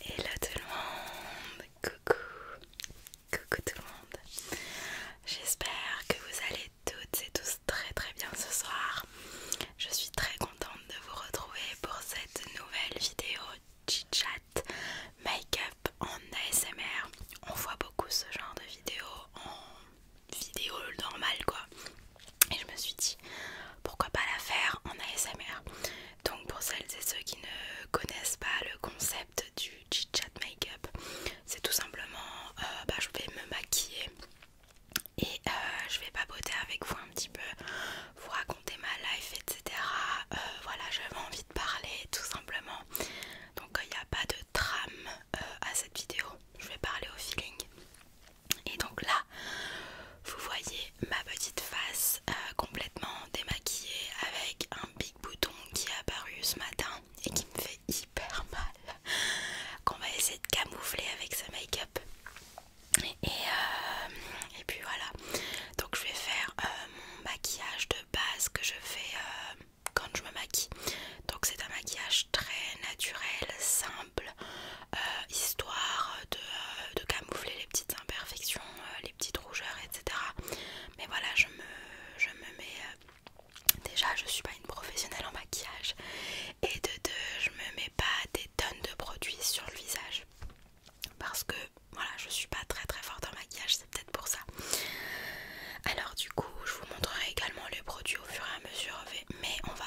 Hello tout le monde, coucou, coucou tout le monde. J'espère que vous allez toutes et tous très très bien ce soir. Je suis très contente de vous retrouver pour cette nouvelle vidéo chit-chat make-up en ASMR. On voit beaucoup ce genre de vidéo en vidéo normale quoi. Et je me suis dit pourquoi pas la faire en ASMR. Donc pour celles et ceux qui ne connaissent pas le concept du chit chat up c'est tout simplement euh, bah, je vais me maquiller et euh, je vais papoter avec vous un petit peu, vous raconter ma life, etc. Euh, voilà, j'avais envie de parler tout simplement. Donc il n'y a pas de trame à cette vidéo, je vais parler au feeling. Et donc là, vous voyez ma petite face euh, complètement démaquillée avec un big bouton qui est apparu ce matin et qui me fait hyper mal. Qu'on va essayer de camoufler avec ce make-up. Et, euh, et puis voilà. Donc je vais faire euh, mon maquillage de base que je fais quand je me maquille. Donc c'est un maquillage très naturel, simple. Euh, histoire euh, de, camoufler les petites imperfections, euh, les petites rougeurs, etc. Mais voilà, je me, mets. déjà, je suis pas une professionnelle en maquillage, et de deux, je me mets pas des tonnes de produits sur le visage parce que voilà, je suis pas très très forte en maquillage, c'est peut-être pour ça. Alors, du coup, je vous montrerai également les produits au fur et à mesure, mais on va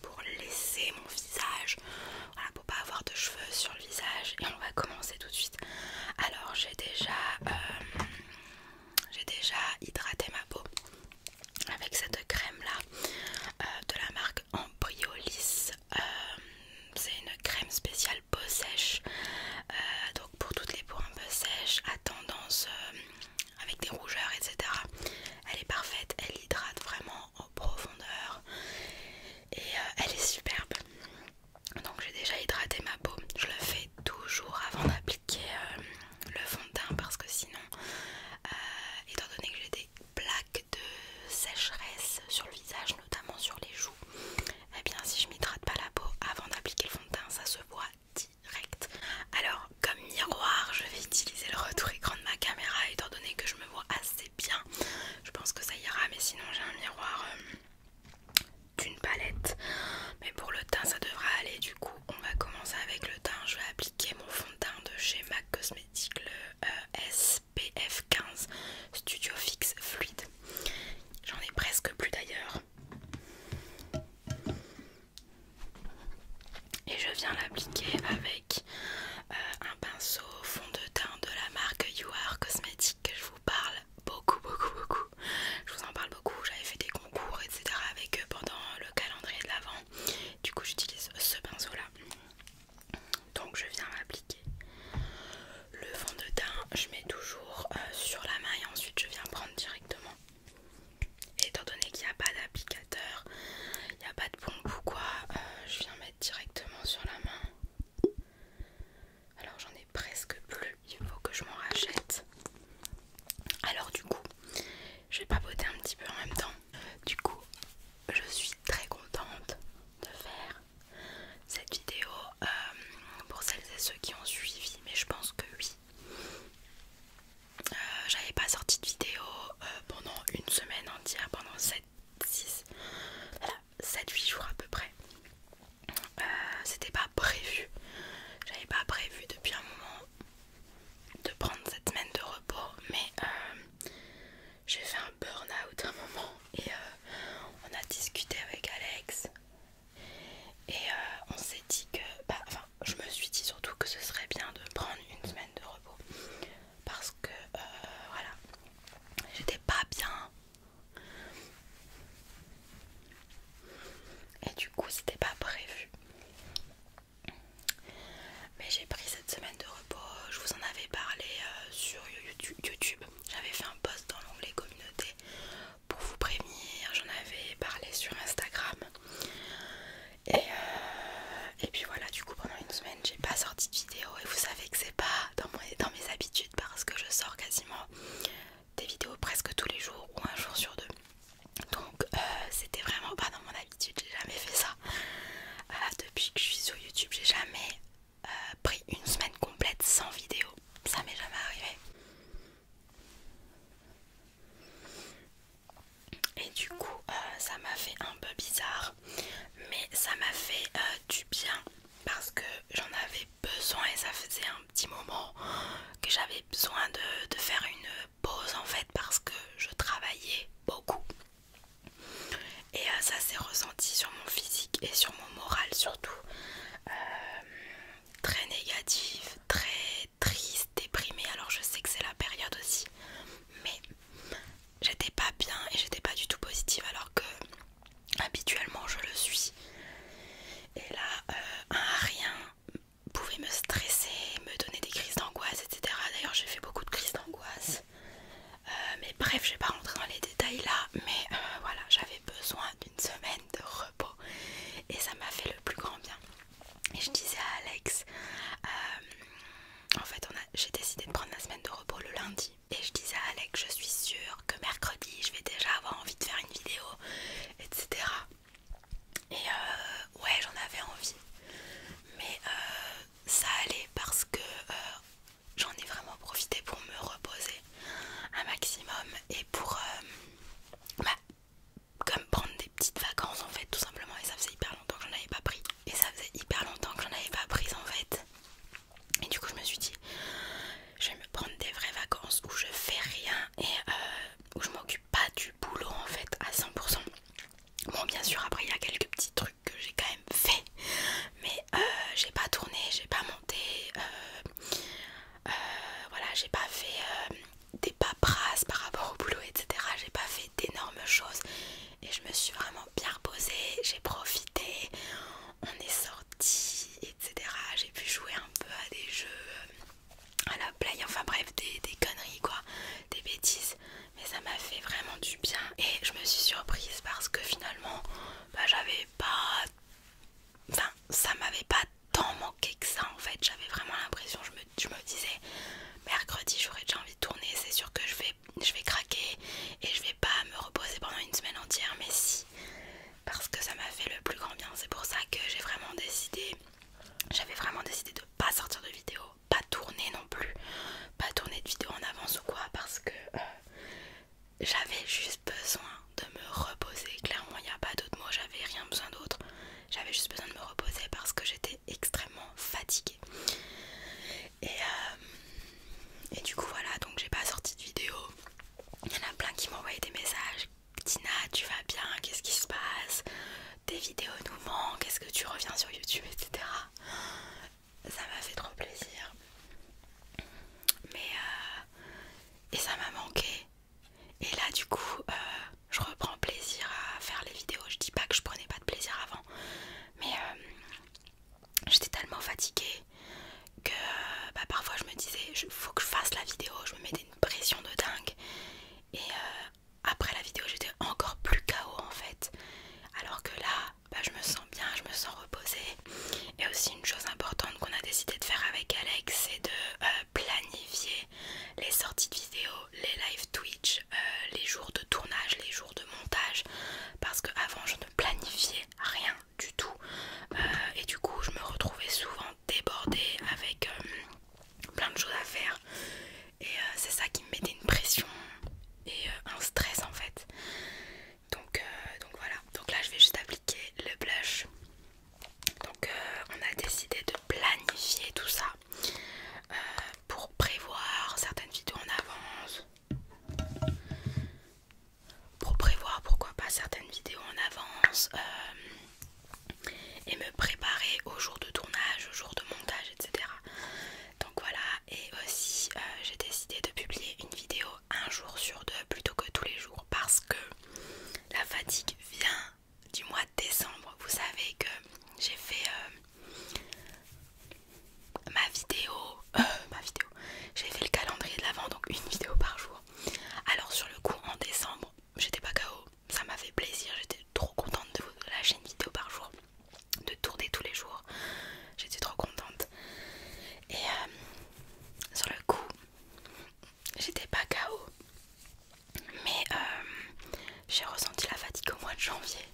pour laisser mon visage, pour pas avoir de cheveux sur le visage. Et on va commencer tout de suite. Alors j'ai déjà, euh, j'ai déjà hydraté ma peau avec cette crème là euh, de la marque Embryolis. Euh, c'est une crème spéciale peau sèche, donc pour toutes les peaux un peu sèches, à tendance avec des rougeurs, etc. Elle est parfaite, elle hydrate vraiment en profondeur et euh, elle est superbe. Donc j'ai déjà hydraté ma peau. Je le fais toujours avant d'appliquer euh, le fond de teint parce que sinon, euh, étant donné que j'ai des plaques de sécheresse sur le visage, notamment sur les joues, et eh bien si je m'hydrate pas la peau avant d'appliquer le fond de teint, ça se voit direct. Alors comme miroir, je vais utiliser le retour écran de ma caméra étant donné que je me vois assez bien. Je pense que ça ira, mais sinon j'ai un miroir euh, d'une palette. Mais pour le teint, ça devra aller. Du coup, on va commencer avec le teint. Je vais appliquer mon fond de teint de chez MAC Cosmetics, le euh, SPF 15 Studio Fix Fluid. J'en ai presque plus d'ailleurs et je viens l'appliquer avec euh, un pinceau fond de teint de la marque You Are Cosmetics que je vous parle beaucoup beaucoup beaucoup je vous en parle beaucoup j'avais fait des concours etc avec eux pendant le calendrier de l'avant du coup j'utilise ce pinceau là donc je viens l'appliquer le fond de teint je mets toujours euh, sur la main et ensuite je viens prendre directement et étant donné qu'il n'y a pas d'applicateur, il n'y a pas de pompe ou quoi, euh, je viens mettre directement sur la main. Alors j'en ai presque plus, il faut que je m'en rachète. Alors du coup, je vais papoter un petit peu en même temps. Du coup, je suis très contente de faire cette vidéo euh, pour celles et ceux qui ont suivi, mais je pense que oui. Euh, j'avais pas sorti de vidéo euh, pendant une semaine entière, pendant 7, 6, 7, 8 jours à peu près. Euh, c'était pas prévu, j'avais pas prévu depuis un moment de prendre cette semaine de repos, mais j'ai fait un burn-out un moment et on a discuté avec Alex et on s'est dit que, bah, je me suis dit surtout que ce serait bien de prendre une semaine de repos parce que euh, voilà, j'étais pas bien et du coup, c'était pas prévu. Mais j'ai pris cette semaine de repos, je vous en avais parlé euh, sur YouTube. J'avais fait un post dans l'onglet communauté pour vous prévenir, j'en avais parlé sur Instagram. Et, euh, et puis voilà, du coup pendant une semaine j'ai pas sorti de vidéo et vous savez que c'est pas dans, dans mes habitudes parce que je sors quasiment des vidéos presque tous les jours ou un jour sur deux. Donc euh, c'était vraiment pas dans mon habitude, j'ai jamais fait ça. Euh, depuis que je suis sur YouTube, j'ai jamais pris une semaine complète sans vidéo. Ça m'est jamais arrivé. Et du coup, euh, ça m'a fait un peu bizarre, mais ça m'a fait euh, du bien parce que j'en avais besoin et ça faisait un petit moment que j'avais besoin de, faire une pause en fait parce que je travaillais beaucoup. Et euh, ça s'est ressenti sur mon physique et sur mon moral surtout. très négatif, très triste, déprimée. Alors je sais que c'est la période aussi, mais j'étais pas bien et j'étais pas du tout positive alors que habituellement je le suis. Et là, euh, rien pouvait me stresser, me donner des crises d'angoisse, etc. D'ailleurs j'ai fait beaucoup de crises d'angoisse. Euh, mais bref, je vais pas rentrer dans les détails là, mais euh, voilà, j'avais besoin d'une semaine de repos et ça m'a fait le plus grand bien. Et je disais à Alex, euh, en fait j'ai décidé de prendre la semaine de repos le lundi. Et je disais à Alex, je suis sûre que mercredi je vais déjà avoir envie de faire une vidéo, etc. Et euh, ouais, j'en avais envie. Mais euh, ça allait parce que j'en ai vraiment profité pour me reposer un maximum et pour comme prendre des petites vacances en fait tout simplement et ça faisait hyper longtemps que j'en avais pas pris et ça faisait hyper longtemps que j'en avais pas pris en fait et du coup je me suis dit je vais me prendre des vraies vacances où je fais rien et euh, où je m'occupe pas du boulot en fait à 100% bon bien sûr après il y a quelques petits trucs que j'ai quand même fait mais euh, j'ai pas tourné j'ai pas monté euh, voilà j'ai pas fait des paperasses par rapport au boulot, etc. J'ai pas fait d'énormes choses et je me suis vraiment bien reposée. J'ai profité, on est sorti, etc. J'ai pu jouer un peu à des jeux à la play, enfin bref, des, conneries quoi, des bêtises. Mais ça m'a fait vraiment du bien et je me suis surprise parce que finalement, bah, j'avais pas. Enfin, ça m'avait pas tant manqué que ça en fait. J'avais vraiment l'impression, je me, je me disais mercredi j'aurais déjà envie de tourner, c'est sûr que je vais, je vais craquer et je vais pas me reposer pendant une semaine entière, mais si, parce que ça m'a fait le plus grand bien. C'est pour ça que j'ai vraiment décidé, j'avais vraiment décidé de pas sortir de vidéo, pas tourner non plus, pas tourner de vidéo en avance ou quoi, parce que euh, j'avais juste besoin de me reposer. Clairement, il n'y a pas d'autre mot, j'avais rien besoin d'autre. J'avais juste besoin de me reposer parce que j'étais extrêmement fatiguée. Euh, et, du coup, voilà, donc j'ai pas sorti de vidéo. Il y en a plein qui m'ont envoyé des messages. Tina, tu vas bien Qu'est-ce qui se passe Tes vidéos nous manquent. Est-ce que tu reviens sur YouTube, etc. Ça m'a fait trop plaisir. Mais euh, et ça m'a manqué. Et là du coup euh, je reprends plaisir à faire les vidéos. Je dis pas que je prenais pas de plaisir avant, mais euh, j'étais tellement fatiguée que bah, parfois je me disais il faut que je fasse la vidéo, je me mettais une pression de dingue. Et euh, après la vidéo j'étais encore plus KO en fait. Alors que là bah, je me sens bien, je me sens reposée. Et aussi une chose importante qu'on a décidé de faire avec Alex c'est de planifier les sorties de vidéos, les live Twitch, euh, les jours de tournage, les jours de montage, parce que avant je ne planifiais rien du tout euh, et du coup je me retrouvais souvent débordée avec euh, plein de choses à faire et c'est ça qui me mettait une pression et un stress en fait. Donc, donc voilà, donc là je vais juste appliquer le blush donc euh, on a décidé de planifier tout ça euh, pour prévoir certaines vidéos en avance. Pour prévoir pourquoi pas certaines vidéos en avance euh, et me préparer au jour de tournage, au jour de montage, etc. Donc voilà, et aussi j'ai décidé de publier une vidéo un jour sur deux plutôt que tous les jours parce que la fatigue vient du mois de décembre, vous savez que j'ai fait euh, ma vidéo, ma vidéo, j'ai fait le calendrier de l'avant, donc une vidéo par jour. Alors sur le coup, en décembre, j'étais pas KO, ça m'a fait plaisir, j'étais trop contente de vous lâcher une vidéo par jour, de tourner tous les jours, j'étais trop contente. Et euh, sur le coup, j'étais pas KO mais euh, j'ai ressenti la fatigue au mois de janvier.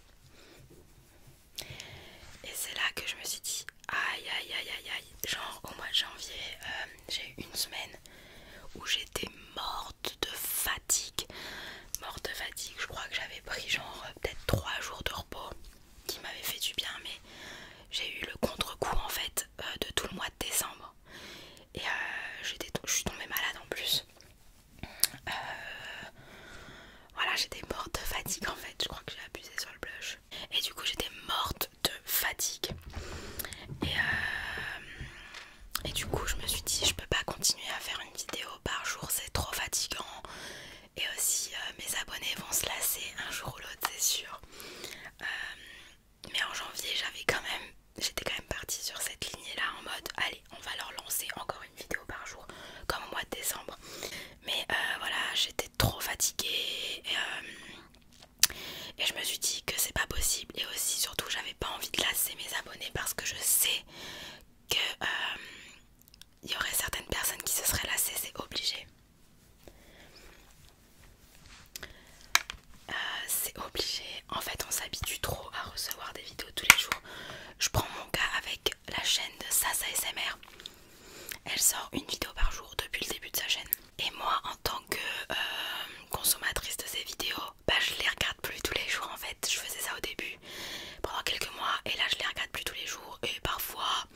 Et c'est là que je me suis dit aïe aïe aïe aïe Genre au mois de janvier, euh, j'ai eu une semaine où j'étais morte de fatigue. Morte de fatigue, je crois que j'avais pris genre euh, peut-être 3 jours de repos qui m'avait fait du bien, mais j'ai eu le contre-coup en fait de tout le mois de décembre et euh, je suis tombée malade en plus. Euh, voilà, j'étais morte de fatigue en fait. Je crois que j'ai abusé sur le blush. Et du coup, j'étais morte de fatigue. Et, euh, et du coup, je me suis dit, je peux pas continuer à faire une vidéo par jour, c'est trop fatigant. Et aussi, euh, mes abonnés vont se lasser un jour ou l'autre, c'est sûr mais en janvier j'avais quand même j'étais quand même partie sur cette lignée là en mode allez on va leur lancer encore une vidéo par jour comme au mois de décembre mais euh, voilà j'étais trop fatiguée euh, et, je me suis dit que c'est pas possible et aussi surtout j'avais pas envie de lasser mes abonnés parce que je sais que euh, il y aurait certaines personnes qui se seraient lassées c'est obligé euh, c'est obligé. En fait, on s'habitue trop à recevoir des vidéos tous les jours. Je prends mon cas avec la chaîne de Sasa SMR. Elle sort une vidéo par jour depuis le début de sa chaîne. Et moi, en tant que euh, consommatrice de ces vidéos, bah, je les regarde plus tous les jours en fait. Je faisais ça au début pendant quelques mois et là je les regarde plus tous les jours. Et parfois,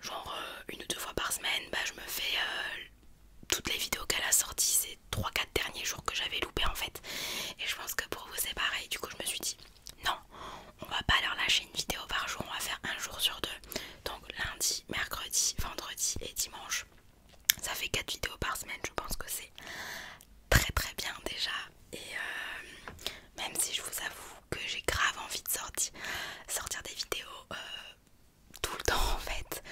genre euh, une ou deux fois par semaine, bah, je me fais toutes les vidéos qu'elle a sorties ces 3-4 derniers jours que j'avais loupé en fait. Et je pense que pour vous c'est pareil. Du coup je me suis dit non, on va pas leur lâcher une vidéo par jour, on va faire un jour sur deux. Donc lundi, mercredi, vendredi et dimanche. Ça fait 4 vidéos par semaine, je pense que c'est très très bien déjà. Et euh, même si je vous avoue que j'ai grave envie de sortir, sortir des vidéos euh, tout le temps en fait.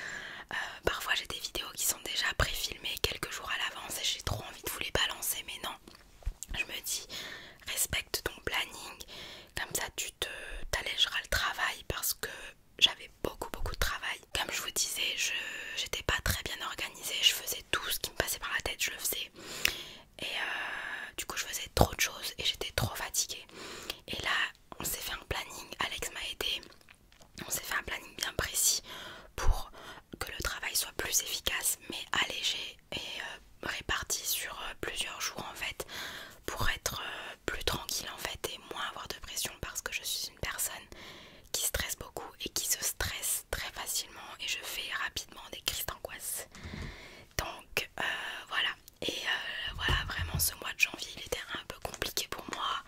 Euh, parfois j'ai des vidéos qui sont déjà préfilmées quelques jours à l'avance et j'ai trop envie de vous les balancer, mais non. Je me dis, respecte ton planning, comme ça tu t'allégeras le travail parce que j'avais beaucoup beaucoup de travail. Comme je vous disais, je j'étais pas très bien organisée, je faisais tout ce qui me passait par la tête, je le faisais. Et euh, du coup je faisais trop de choses et j'étais trop fatiguée. Et là on s'est fait un planning, Alex m'a aidé, on s'est fait un planning bien précis pour que le travail soit plus efficace mais allégé et euh, réparti sur euh, plusieurs jours en fait pour être euh, plus tranquille en fait et moins avoir de pression parce que je suis une personne qui stresse beaucoup et qui se stresse très facilement et je fais rapidement des crises d'angoisse donc voilà et euh, voilà, vraiment ce mois de janvier, il était un peu compliqué pour moi.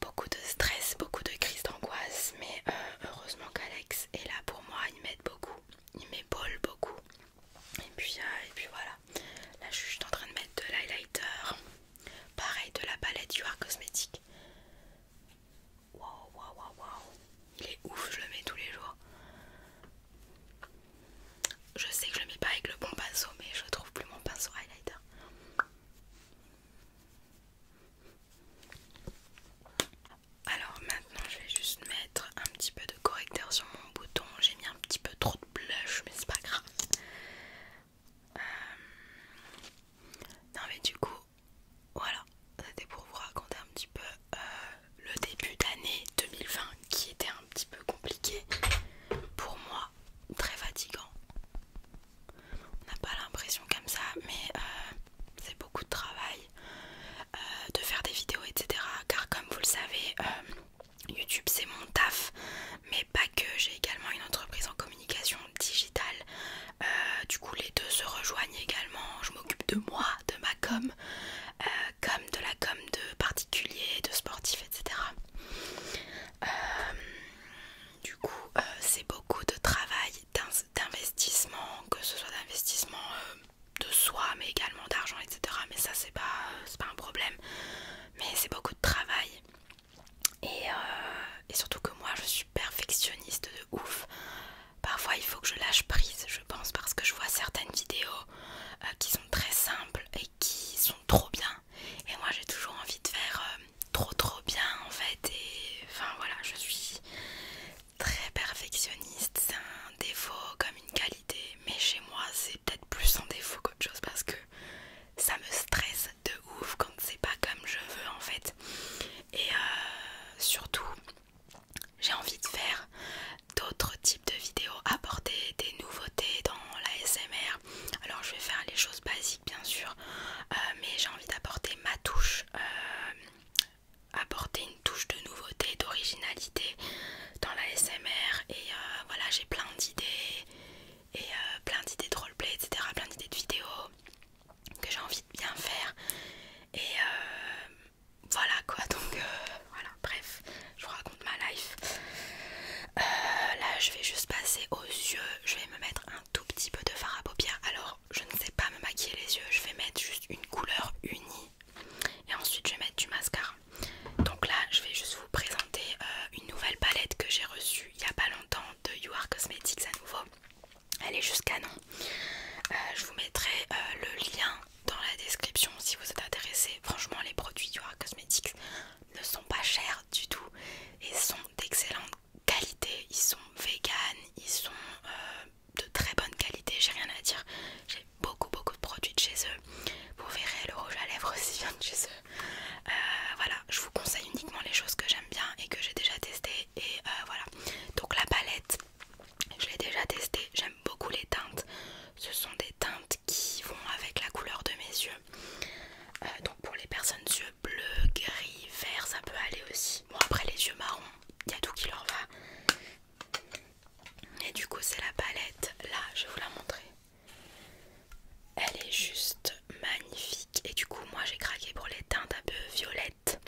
Beaucoup de stress, beaucoup de crises d'angoisse, mais euh, heureusement qu'Alex est là pour moi, il m'aide beaucoup, il m'épaule beaucoup. Et puis, euh, et puis voilà, là je suis en train de mettre de l'highlighter, pareil de la palette UR Cosmétique. Waouh, waouh, waouh, waouh, il est ouf, je le mets tous les jours. Je sais que je le mets pas avec le bon pinceau, mais je trouve plus mon pinceau highlighter. Alors maintenant, je vais juste mettre un petit peu de correcteur sur mon bouton. J'ai mis un petit peu trop de blush, mais c'est pas grave. Euh, non mais du coup, voilà, c'était pour vous raconter un petit peu euh, le début d'année 2020 qui était un petit peu compliqué pour moi, très fatigant. On n'a pas l'impression comme ça, mais euh, c'est beaucoup de travail euh, de faire des vidéos, etc. Car comme vous le savez, euh, YouTube c'est mon taf, mais pas que. J'ai également une entreprise en communication digitale. du coup, les deux se rejoignent également. Je m'occupe de moi, de ma com, euh, comme de la com de particuliers, de sportifs, etc. Euh, du coup, euh, c'est beaucoup de travail, d'investissement, que ce soit d'investissement de soi, mais également d'argent, etc. Mais ça, c'est pas, pas un problème. Mais c'est beaucoup de travail. Et, surtout que moi, je suis perfectionniste de ouf. Parfois, il faut que je lâche prise je pense parce que je vois certaines vidéos euh, qui sont très simples et qui sont trop bien et moi j'ai toujours envie de faire euh, trop trop bien en fait et enfin voilà je suis très perfectionniste c'est un défaut comme une qualité mais chez moi c'est peut-être plus un défaut qu'autre chose parce que ça me stresse de ouf quand c'est pas comme je veux en fait et euh, surtout j'ai envie de faire d'autres types de vidéos, apporter des nouveautés dans la SMR. Alors je vais faire les choses basiques bien sûr, euh, mais j'ai envie d'apporter ma touche, euh, apporter une touche de nouveauté, d'originalité dans la SMR. Et euh, voilà, j'ai plein d'idées et plein d'idées de roleplay, etc. Plein d'idées de vidéos que j'ai envie de bien faire. Et voilà quoi donc euh, voilà bref je vous raconte ma life euh, là je vais juste passer aux yeux je vais me mettre un tout petit peu de fard à paupières alors je ne sais pas me maquiller les yeux je vais mettre juste une couleur unie et ensuite je vais mettre du mascara donc là je vais juste vous présenter euh, une nouvelle palette que j'ai reçue il y a pas longtemps de You Are Cosmetics à nouveau elle est juste canon je vous mettrai le lien dans la description si vous êtes intéressé. Franchement, les produits aura Cosmetics ne sont pas chers du tout et sont d'excellente qualité. Ils sont vegan, ils sont euh, de très bonne qualité. J'ai rien à dire. J'ai beaucoup, beaucoup de produits de chez eux. Vous verrez, le rouge à lèvres aussi vient de chez eux. Euh, voilà, je vous conseille uniquement les choses que j'aime bien et que j'ai déjà testées. Et euh, voilà, donc la palette je l'ai déjà testé, j'aime beaucoup les teintes. Ce sont des teintes qui vont avec la couleur de mes yeux. Euh, donc pour les personnes yeux bleus, gris, verts, ça peut aller aussi. Bon après les yeux marrons, il y a tout qui leur va. Et du coup c'est la palette, là je vais vous la montrer. Elle est juste magnifique et du coup moi j'ai craqué pour les teintes un peu violettes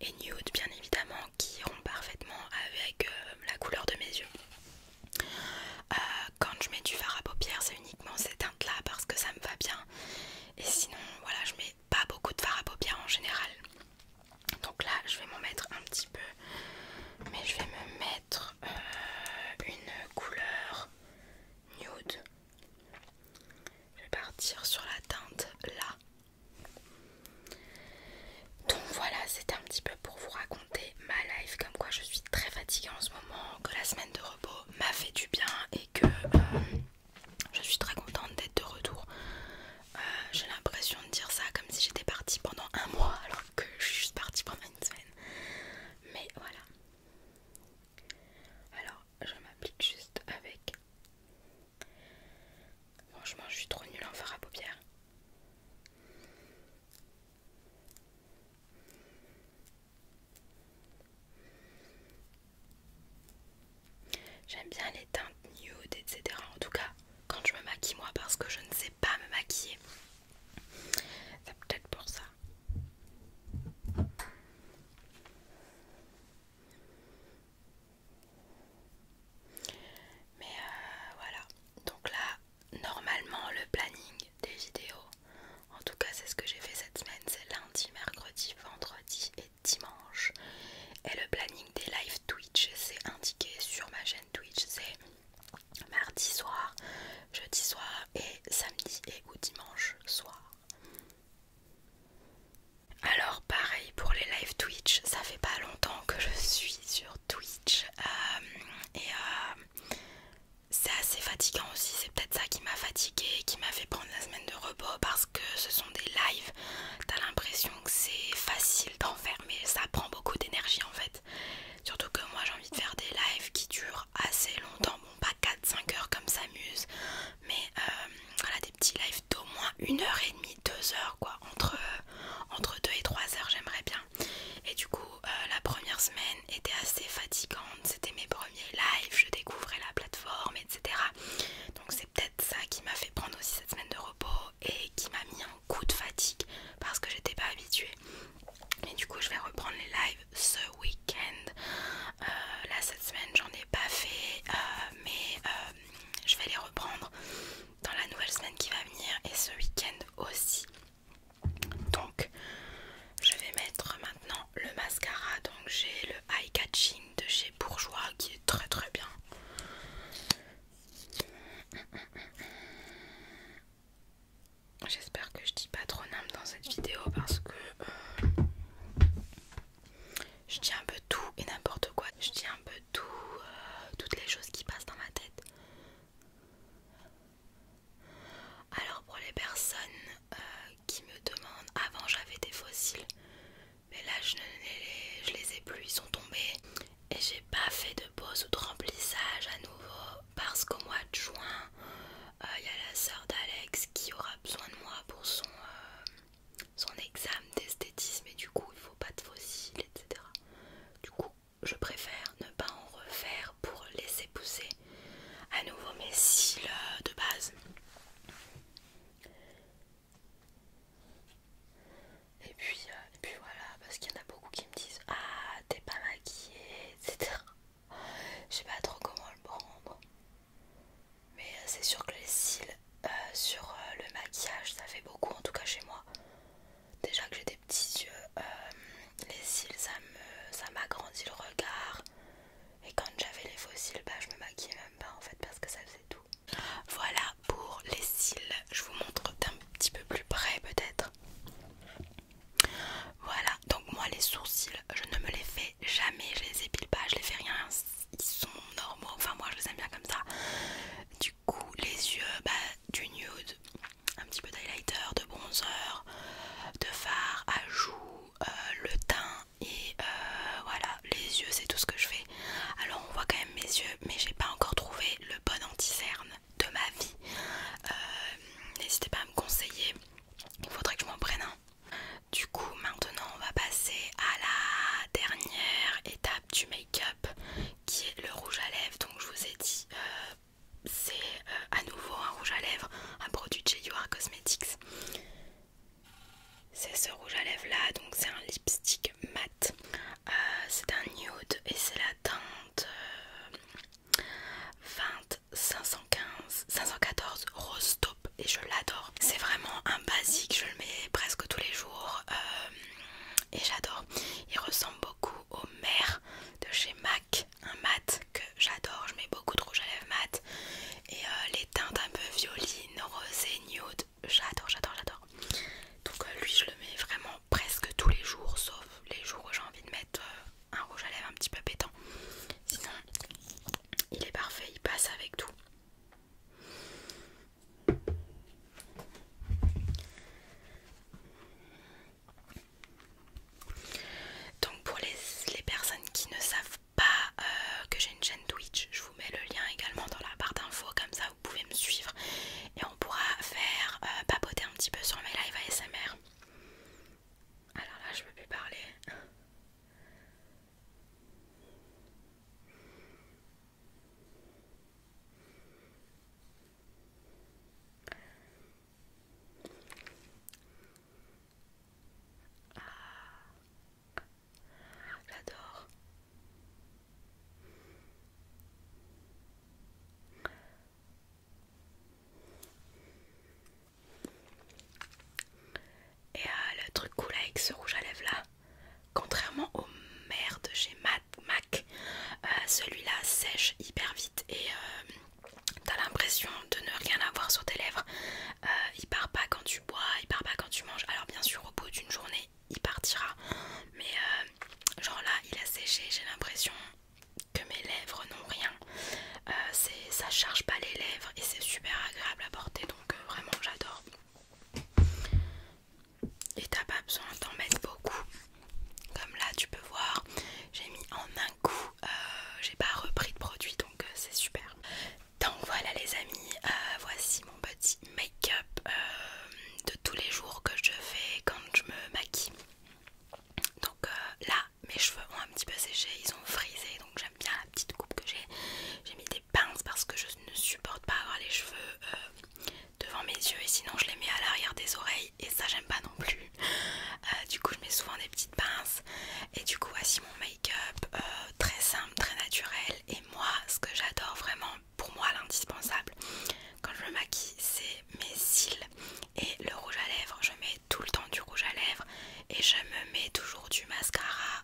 et nude bien évidemment qui iront parfaitement avec euh, la couleur de mes yeux. Euh, quand je mets du fard à paupières, c'est uniquement ces teintes là parce que ça me va bien. Et sinon, voilà, je mets pas beaucoup de fard à paupières en général. Donc là, je vais m'en mettre un petit peu, mais je vais me mettre euh, une couleur nude. Je vais partir sur la teinte là. Donc voilà, c'était un petit peu pour vous raconter ma life, comme quoi je suis très fatiguée en ce moment, que la semaine de repos m'a fait du bien et que euh, je suis très contente d'être de retour. Euh, j'ai l'impression de dire ça comme si j'étais partie pendant un mois alors que je suis juste partie pendant une semaine. Mais voilà. Alors je m'applique juste avec Franchement, je suis trop nulle en fard à paupières. J'aime bien les teintes nude, etc. En tout cas, quand je me maquille moi, parce que je ne sais pas me maquiller. C'est peut-être pour ça. Mais euh, voilà, donc là, normalement, le planning des vidéos, en tout cas, c'est ce que j'ai fait cette semaine c'est lundi, mercredi, vendredi et dimanche. Et le planning des live Twitch, c'est indiqué sur ma chaîne Twitch c'est mardi soir, jeudi soir et samedi et ou dimanche soir. Alors pareil pour les lives Twitch, ça fait pas longtemps que je suis sur Twitch euh, et euh, c'est assez fatigant aussi, c'est peut-être ça qui m'a fatiguée, qui m'a fait prendre la semaine de repos parce que ce sont des lives, t'as l'impression que c'est facile d'enfermer, ça prend beaucoup d'énergie en fait. Surtout que moi j'ai envie de faire des lives qui durent assez longtemps, bon pas 4-5 heures comme ça muse, mais euh, voilà des petits lives d'au moins une heure et demie 2 heures quoi, entre 2 euh, et 3 heures j'aimerais bien. Et du coup euh, la première semaine était assez fatigante, c'était mes premiers lives, je découvrais la plateforme, etc. Donc c'est peut-être ça qui m'a fait prendre aussi cette semaine de repos et qui m'a mis un coup de fatigue parce que j'étais pas habituée. Et du coup je vais reprendre les lives ce week-end. Euh, là cette semaine j'en ai pas fait mais euh, je vais les reprendre dans la nouvelle semaine qui va venir et ce week-end aussi. Donc je vais mettre maintenant le mascara. Donc j'ai le Eye Catching de chez Bourgeois qui est très très bien. J'espère que je dis pas trop n'âme dans cette vidéo parce que euh, je dis un peu tout et n'importe quoi. Je dis un peu tout, euh, toutes les choses qui passent dans ma tête. Alors pour les personnes euh, qui me demandent, avant j'avais des fossiles, mais là je, ne les, je les ai plus, ils sont tombés. Et j'ai pas fait de pause ou de remplissage à nouveau parce qu'au mois de juin, euh, il y a la sœur d'Alex qui aura besoin de moi pour son, son examen d'esthétisme et du coup il faut pas de fossiles, etc. Du coup, je préfère ne pas en refaire pour laisser pousser à nouveau mes cils euh, de base. Et puis, euh, et puis voilà, parce qu'il y en a beaucoup qui me disent Ah, t'es pas maquillée, etc. Je sais pas trop comment le prendre mais euh, c'est sûr que les cils euh, sur euh, le maquillage ça fait beaucoup en tout cas chez moi déjà que j'ai des petits yeux les cils ça ça m'agrandit le regard et quand j'avais les faux cils bah, je me maquillais même pas en fait parce que ça faisait tout voilà pour les cils je vous montre d'un petit peu plus près peut-être voilà donc moi les sourcils je ne me les fais jamais je les épile pas je les fais rien ils sont normaux, enfin moi je les aime bien comme ça. Du coup les yeux, bah du nude, un petit peu d'highlighter, de bronzer, de fard à euh, le teint et euh, voilà les yeux c'est tout ce que je fais. Alors on voit quand même mes yeux mais j'ai pas encore trouvé le bon anti-cerne de ma vie. Euh, n'hésitez pas à me conseiller, il faudrait que je m'en prenne un. Du coup, maintenant, on va passer à la dernière étape du make-up qui est le rouge à lèvres. Donc, je vous ai dit, euh, c'est euh, à nouveau un rouge à lèvres, un produit de chez Cosmetics. C'est ce rouge à lèvres là, donc c'est un lipstick mat. Euh, c'est un nude et c'est la teinte 20 514 Rose et je l'adore. C'est vraiment un basique, je le mets presque tous les jours euh, et j'adore. Il ressemble beaucoup au mer de chez MAC, un mat que j'adore. Je mets beaucoup de rouge à lèvres mat et euh, les teintes un peu violines, rosées, nude. J'adore, j'adore, j'adore. Donc euh, lui, je le mets vraiment presque tous les jours, sauf les jours où j'ai envie de mettre un rouge à lèvres un petit peu pétant. Sinon, il est parfait, il passe avec tout. Donc pour les, personnes qui ne savent pas euh, que j'ai une chaîne Twitch, je vous mets le lien également dans la barre d'infos, comme ça vous pouvez me suivre et on pourra faire euh, papoter un petit peu sur mes lives ASMR. Alors là je peux plus parler. Ah, j'adore. Et euh, le truc cool avec ce rouge à lèvres là, contrairement au merde chez MAC, euh, celui-là sèche hyper vite et euh, t'as l'impression de ne rien avoir sur tes lèvres. il part pas quand tu bois, il part pas quand tu manges. Alors bien sûr au bout d'une journée il partira, mais genre là il a séché, j'ai l'impression que mes lèvres n'ont rien. C'est, ça charge pas les lèvres et c'est super agréable à porter donc euh, vraiment j'adore. Et t'as pas besoin d'en mettre beaucoup. Comme là tu peux voir, j'ai mis en un coup, euh, j'ai pas repris de produit donc euh, c'est super. Donc voilà les amis, voici mon petit make-up de tous les jours que je fais quand je me maquille. Donc là mes cheveux ont un petit peu séché, ils ont frisé donc j'aime bien la petite coupe que j'ai. J'ai mis des pinces parce que je ne supporte pas avoir les cheveux euh, devant mes yeux et sinon je les mets à l'arrière des oreilles et ça j'aime pas non plus. Euh, du coup je mets souvent des petites pinces et du coup voici mon make-up euh, très simple, très naturel et moi ce que j'adore vraiment pour moi l'indispensable quand je me maquille c'est mes cils et le rouge à lèvres. Je mets tout le temps du rouge à lèvres et je me mets toujours du mascara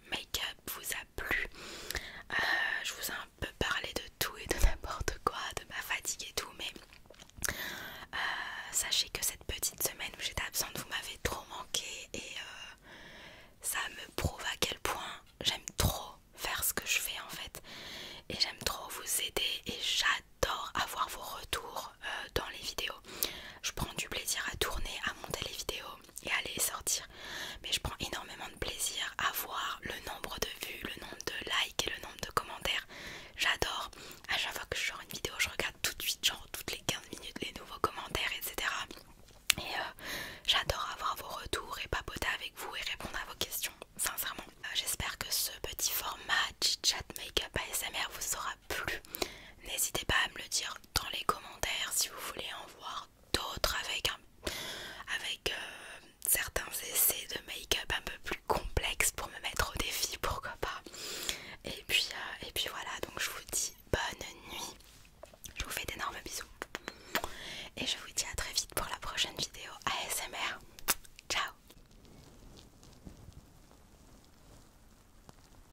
make-up vous a plu. Euh, je vous ai un peu parlé de tout et de n'importe quoi, de ma fatigue et tout, mais euh, sachez que cette petite semaine où j'étais absente, vous m'avez trop manqué et euh, ça me prouve à quel point j'aime trop faire ce que je fais en fait. Et j'aime trop vous aider et j'adore avoir vos retours dans les vidéos. Je prends du plaisir à tourner, à monter les vidéos, et aller sortir. Mais je prends énormément de plaisir à voir le nombre de vues, le nombre de likes et le nombre de commentaires. J'adore. À chaque fois que je une vidéo, je regarde tout de suite, genre toutes les 15 minutes, les nouveaux commentaires, etc. Et euh, j'adore avoir vos retours et papoter avec vous et répondre à vos questions, sincèrement. Euh, j'espère que ce petit format chit-chat makeup ASMR vous aura plu. N'hésitez pas à me le dire dans les commentaires si vous voulez en voir d'autres avec, avec euh, certains essais de make-up un peu plus complexes pour me mettre au défi, pourquoi pas. Et puis, euh, et puis voilà, donc je vous dis bonne nuit. Je vous fais d'énormes bisous. Et je vous dis à très vite pour la prochaine vidéo ASMR. Ciao